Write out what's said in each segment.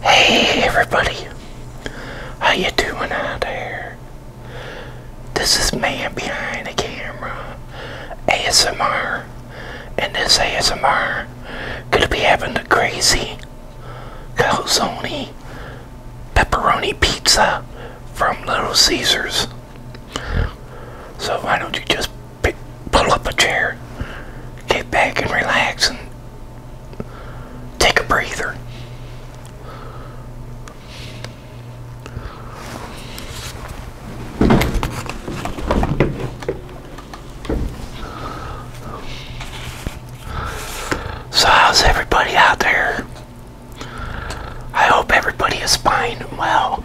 Hey everybody, how you doing out there? This is man behind the camera, ASMR, and this ASMR gonna be having the crazy calzone pepperoni pizza from Little Caesars. So why don't you just pull up a chair, get back and relax and take a breather. So how's everybody out there? I hope everybody is fine and well.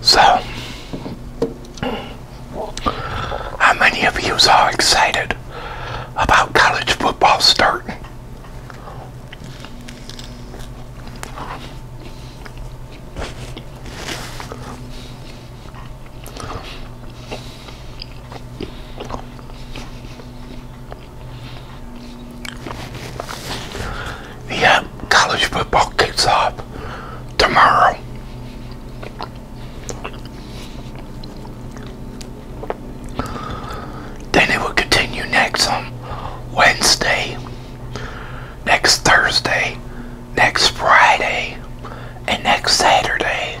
So, how many of you are excited about college football starting? Yep, college football kicks off tomorrow. Then it will continue next Wednesday, next Thursday, next Friday, and next Saturday.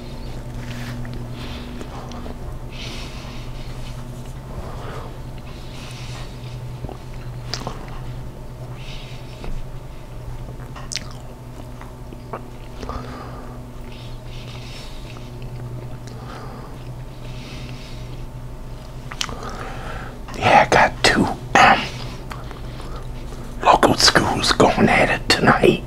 Yeah, I got two um, local schools going at it tonight.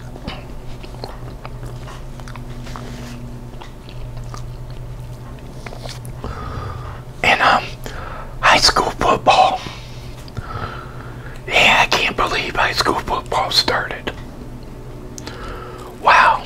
And um, high school football. Yeah, I can't believe high school football started. Wow.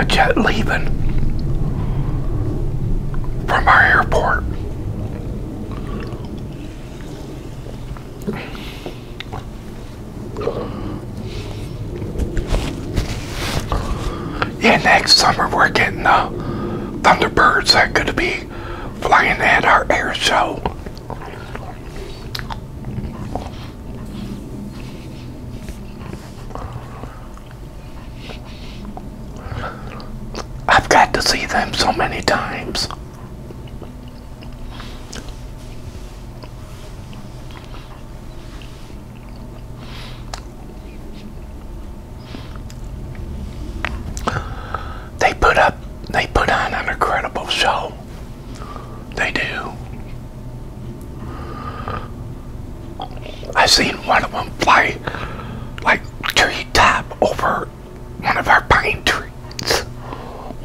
A jet leaving from our airport yeah, next summer we're getting the uh, Thunderbirds that could be flying at our air show. I've got to see them so many times. They put up, they put on an incredible show. They do. I have seen one of them fly like tree top over one of our pine trees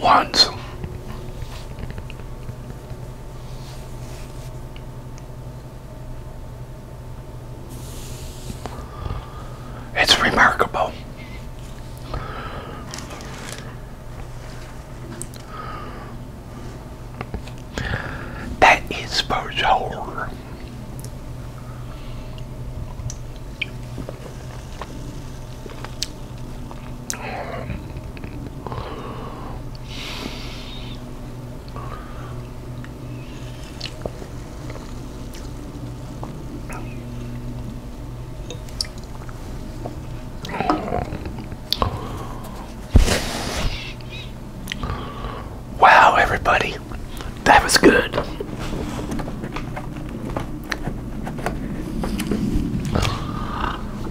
once. It's remarkable. That is for sure. Wow, everybody, that was good.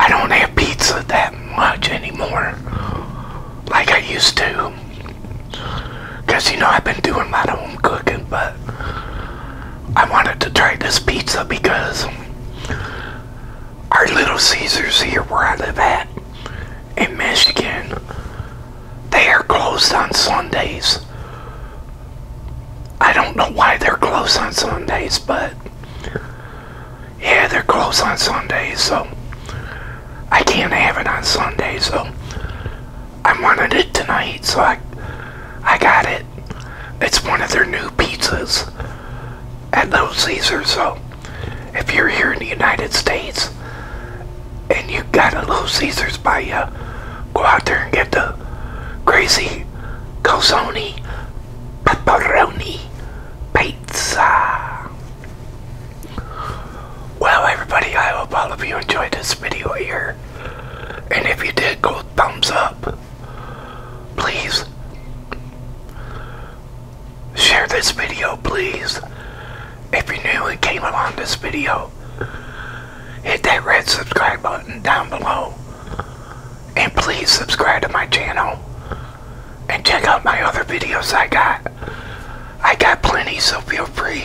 I don't have pizza that much anymore like I used to. Because, you know, I've been doing my own cooking, but I wanted to try this pizza because our Little Caesars here where I live at in Michigan, they are closed on Sundays. I don't know why they're closed on Sundays, but yeah, they're closed on Sundays, so I can't have it on Sunday, so I wanted it tonight, so I, I got it. It's one of their new pizzas at Little Caesars, so if you're here in the United States and you got a Little Caesars by you, go out there and get the crazy calzone pepperoni pizza. Well, everybody, I hope all of you enjoyed this video here. And if you did, go thumbs up. Please share this video, please. If you're new and came along this video, hit that red subscribe button down below. And please subscribe to my channel. And check out my other videos I got I got plenty, so feel free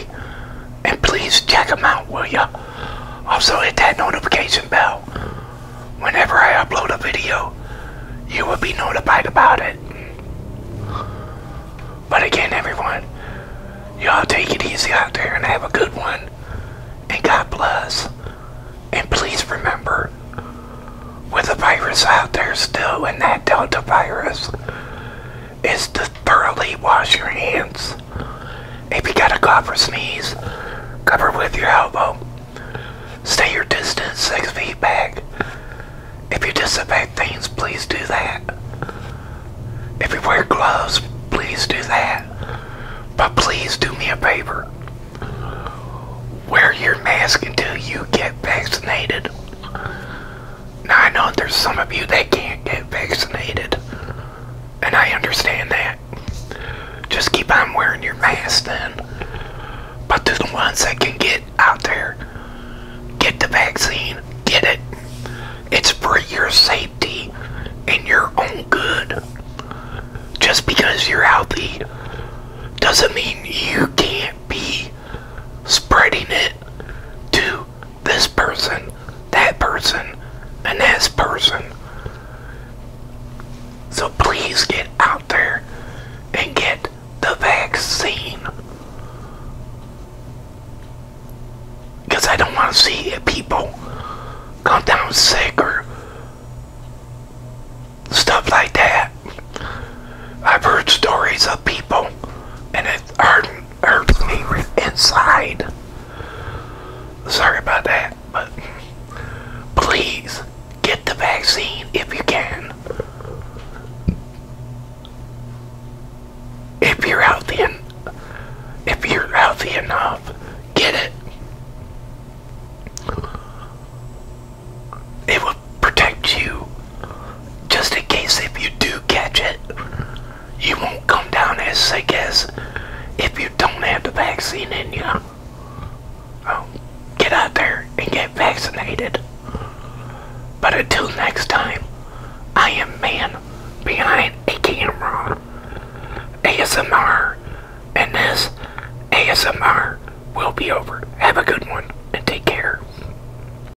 and please check them out, will ya? Also, hit that notification bell. Whenever I upload a video, you will be notified about it. But again, everyone, y'all take it easy out there and have a good one. And God bless. And please remember, with the virus out there still and that Delta virus, is to thoroughly wash your hands. If you got a cough or sneeze, cover with your elbow. Stay your distance six feet back. If you disinfect things, please do that. If you wear gloves, please do that. But please do me a favor. Wear your mask until you get vaccinated. Now, I know there's some of you that can't get vaccinated, and I understand that. Just keep on wearing your mask then. But to the ones that can get out there, get the vaccine, get it. It's for your safety and your own good. Just because you're healthy doesn't mean you can't be spreading it to this person, that person, and this person. So please get out there and get the vaccine. Because I don't want to see people come down sick or stuff like that. I've heard stories of people, and it's hard hurts me inside. Sorry about that, but please get the vaccine if you can. If you're healthy, and if you're healthy enough, get it. It will protect you just in case if you do catch it, you won't come down as sick as if you don't have the vaccine in you. Oh, get out there and get vaccinated. But until next time, I am man behind a camera. ASMR. And this ASMR will be over. Have a good one and take care.